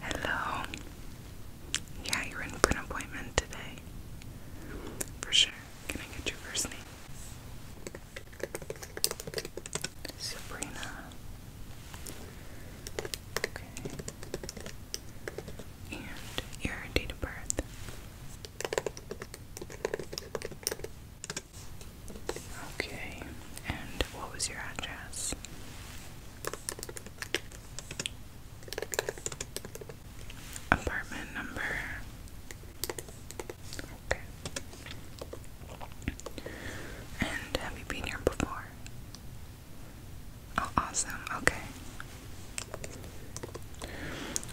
Hello. Yeah, you're in for an appointment today. For sure. Can I get your first name? Sabrina. Okay. And your date of birth. Okay. And what was your address? Apartment number. Okay. And have you been here before? Oh, awesome. Okay.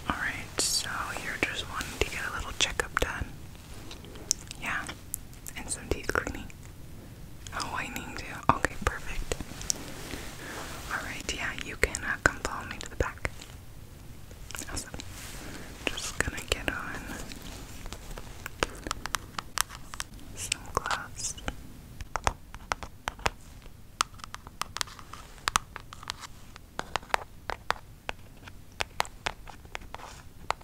Alright, so you're just wanting to get a little checkup done. Yeah and some teeth cleaning. Oh, whitening too. Okay, perfect. Alright, yeah, you can uh, come follow me to the back. Just gonna get on some gloves.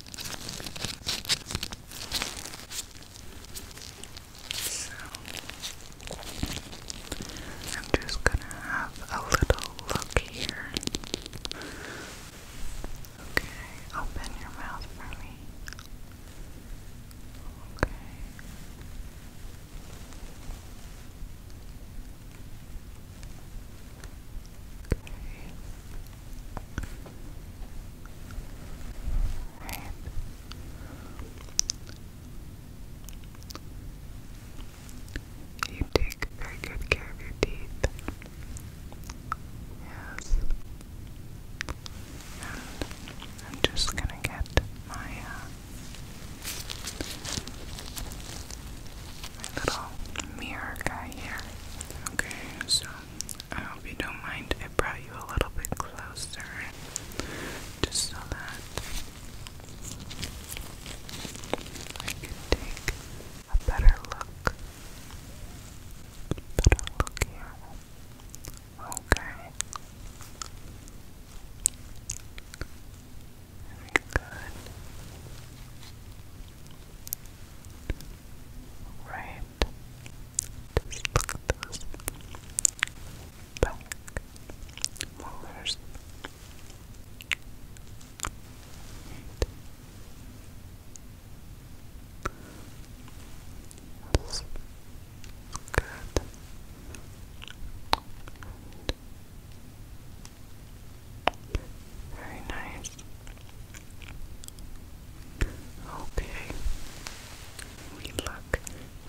So, I'm just gonna have a little look here. Okay, open your mouth for me. Okay. Right. You take very good care of your teeth. Yes. And I'm just gonna get my uh, my little mirror guy here. Okay, so I hope you don't mind. I brought you a little bit closer just so that I can take a better look. Better look here. Okay. Good. Right. Just look those back molars. Right. Good. Very nice. Okay. We look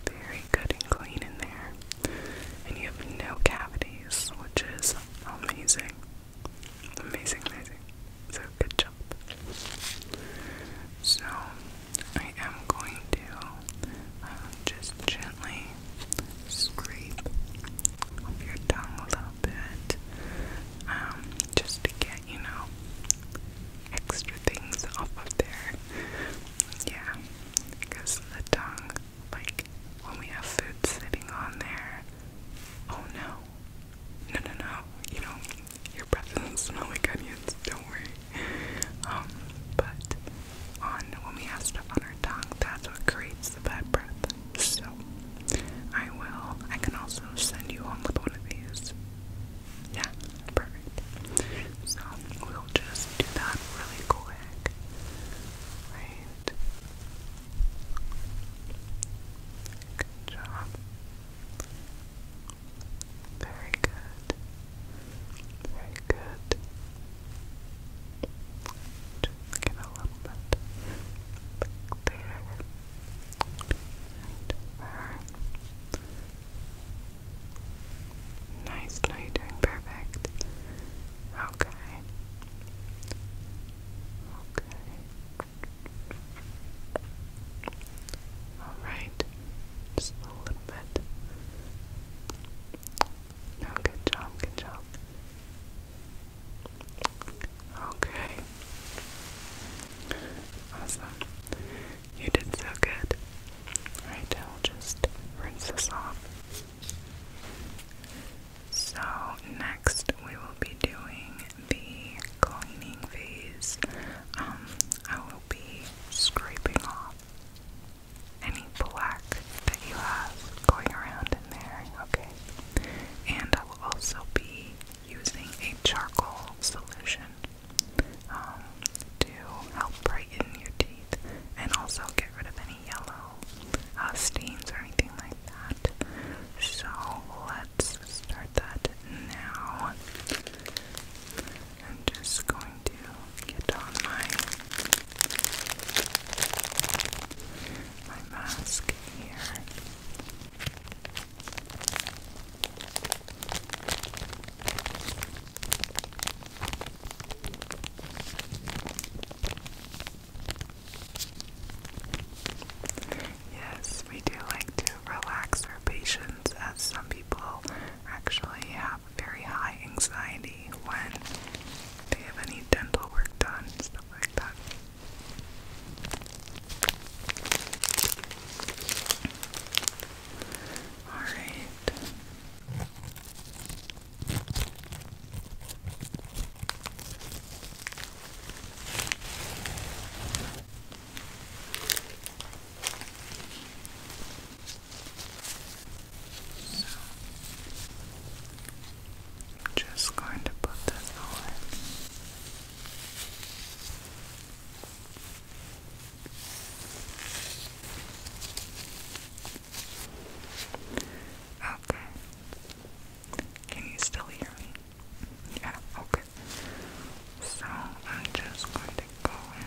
very good and clean in there. And you have no cavities, which is amazing. Amazing, amazing. So good job. So I am going to um, just gently scrape of your tongue a little bit, um, just to get, you know, extra things off of there. Yeah, because the tongue, like when we have food sitting on there, oh no, no, no, no, you know, your breath doesn't smell like onions, don't worry. Um, but on when we have stuff on our that's what creates the bad breath. So, I will. I can also send you home with one of these. Yeah, perfect. So, we'll just do that really quick. Right? Good job. Very good. Very good. Just get a little bit there. Right Nice, now you're doing perfect. Okay. Okay. Alright. Just a little bit. No, oh, good job, good job. Okay. Awesome. You did so good. I'll just rinse this off. So, next we will be doing the cleaning phase. Um, I will be scraping off any black that you have going around in there, okay? And I will also be using a charcoal solution um, to help brighten your teeth and also get rid of any yellow uh, stains or anything like that. So let's start that now. I'm just going to get on my my mask here. Yes, we do like to relax our patients as some people actually have very high anxiety when they have any dental work done, stuff like that. Alright. So I'm just going to put this all in. Okay. Can you still hear me? Yeah, okay. So I'm just going to go in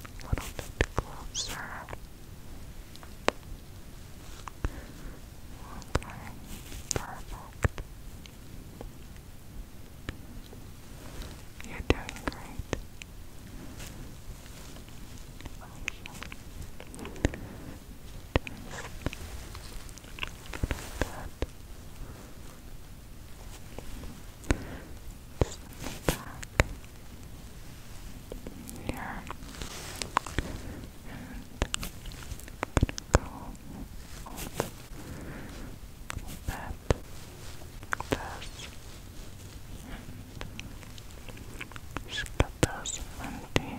a little bit closer. Okay, perfect. You're doing great. Awesome. Just just back here and go up that like this and just get those empty.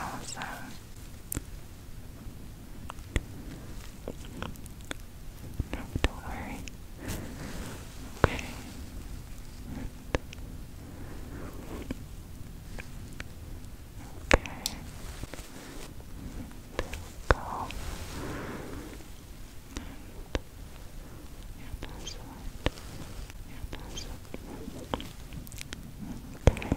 Also, no, don't worry. Okay. Okay. go. And the other Okay.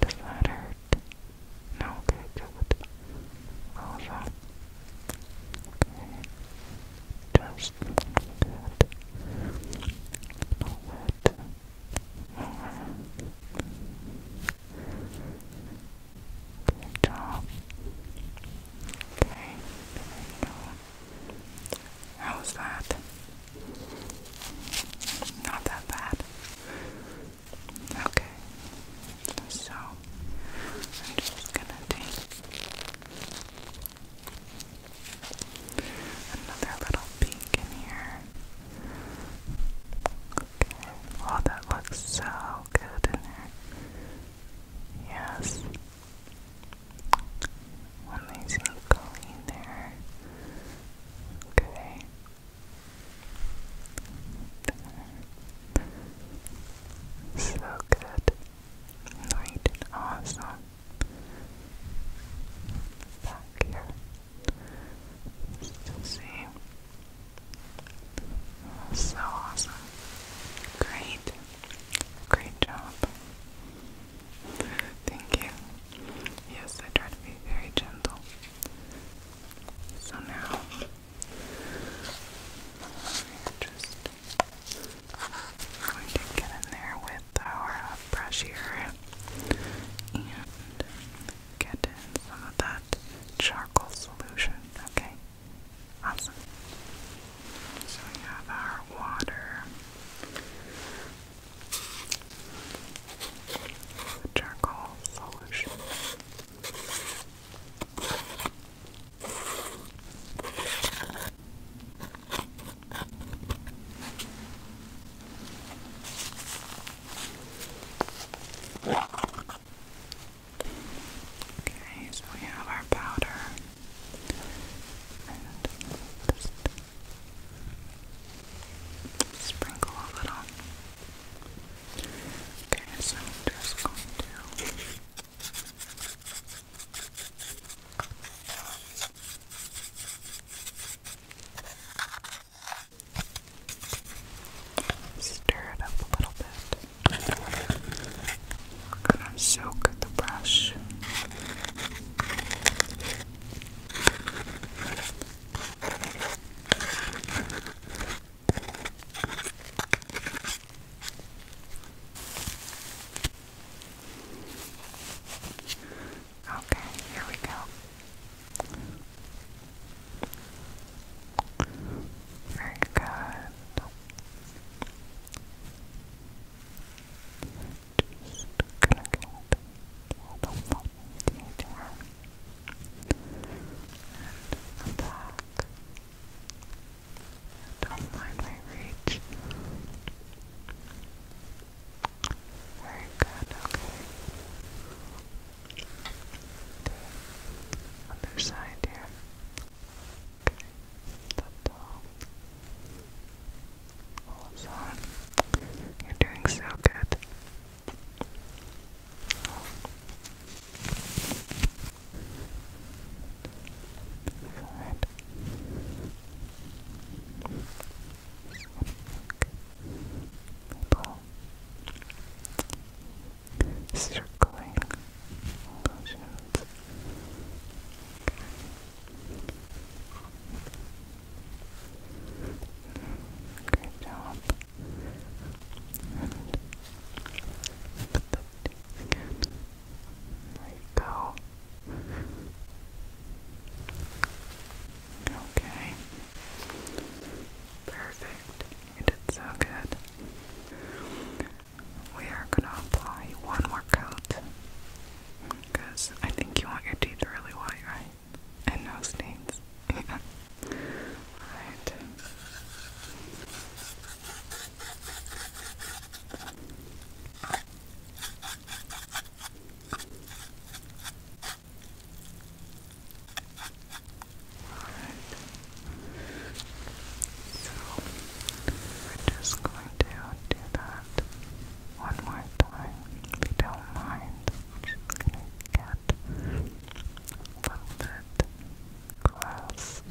Does that hurt? No, okay, good. Also, okay, just good. A little bit more. Good job. Okay, there we go. How was that? Not that bad. Okay. So, I'm just gonna take another little peek in here. Okay. Oh, that looks so good in there. Yes. Amazing Colleen there. Okay. So good. No, awesome. Back here. Just So awesome. Great. Great job. Thank you. Yes, I try to be very gentle. So now, just going to get in there with our brush here and get in some of that charcoal solution. Okay, awesome. So we have our water, charcoal solution. Okay, so we have our powder. And just sprinkle all that Okay, so I'm just going to Stir it up a little bit. I'm gonna soak the brush. Okay, here we go. Very good. Just gonna get all the ones you need And the Don't mind my reach. Very good, okay. other side here football. Hold on. You're doing so good. Good. Circling those roots. Okay. Great job. There you go. Okay. Perfect. You did so good we are gonna apply one more coat because I think you want your teeth really white, right? And no stains. Alright. Alright. So we're just going to do that one more time. If you don't mind, just gonna get a little bit close.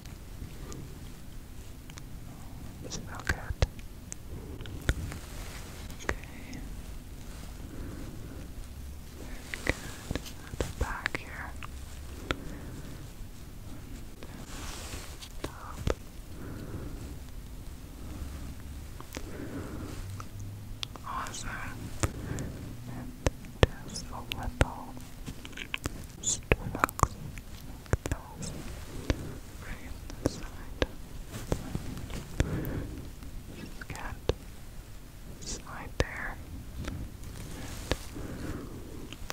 It's good. Okay. Very good. the back here. Top. Awesome. And just a little strokes like right inside. Just get slide there.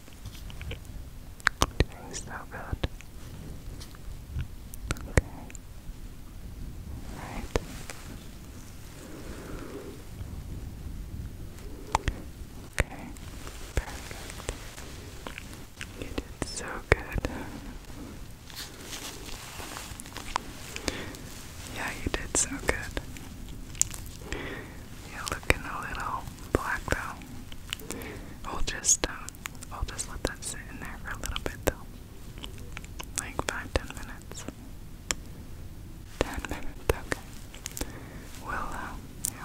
Doing so good. Okay. Right. Okay. Perfect. You did so good. Yeah, you did so good. You're looking a little black though. I'll just, um, I'll just let that sit in there for a little bit though. Like five, ten minutes. Ten minutes, okay. We'll, uh,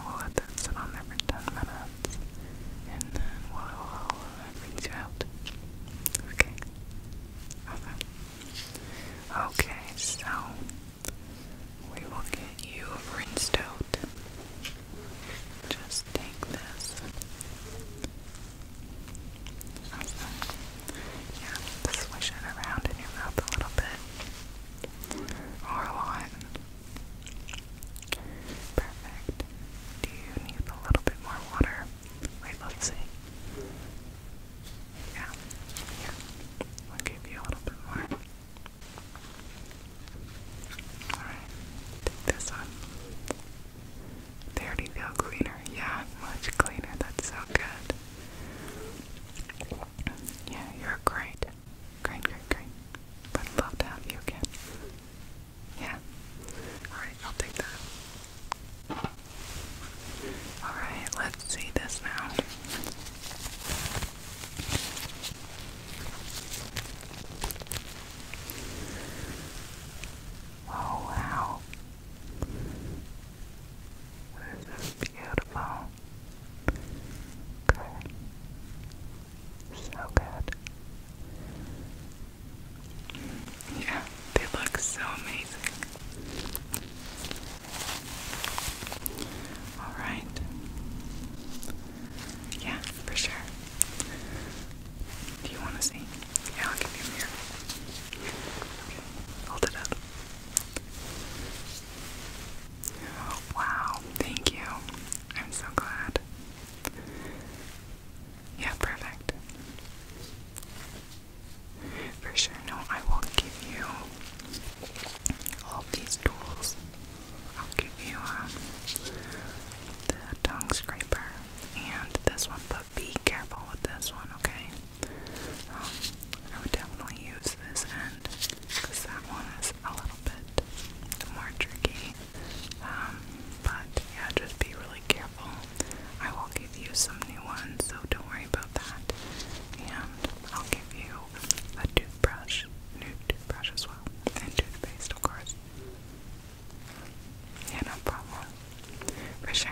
we'll let that sit on there for ten minutes. And then we'll, we'll, rinse you out. Okay. Okay, so we will get you rinsed out. Just take this. Yeah, swish it around in your mouth a little bit. Or a lot. Perfect. Do you need a little bit more water? Wait, let's see. Yeah, yeah. We'll give you a little bit more. Alright, take this one. They already feel cleaner. Yeah, much cleaner. That's so good. Yeah, you're great. Great, great, great. But love to have you again. Yeah. Alright, I'll take that. Alright, let's see this now. Oh, wow. This is beautiful. Good. So good. Yeah, they look so amazing. All right. Yeah, for sure. Do you want to see? Yeah, I'll give you a mirror. Okay, hold it up. Oh, wow, thank you. I'm so glad. Yeah, perfect. For sure. No, I will give you all these tools. I'll give you um, the tongue scraper and this one, but be careful with this one, okay? Um, I would definitely use this end because that one is a little bit more tricky. Um, but yeah, just be really careful. I will give you some new ones, so don't worry about that. And I'll give you a toothbrush, new toothbrush as well, and toothpaste, of course. Yeah, no problem. For sure.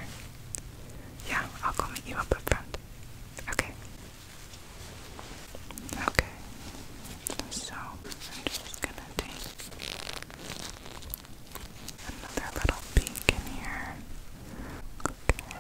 Yeah, I'll go meet you up up front. Okay. Okay. So, I'm just gonna take another little peek in here. Okay,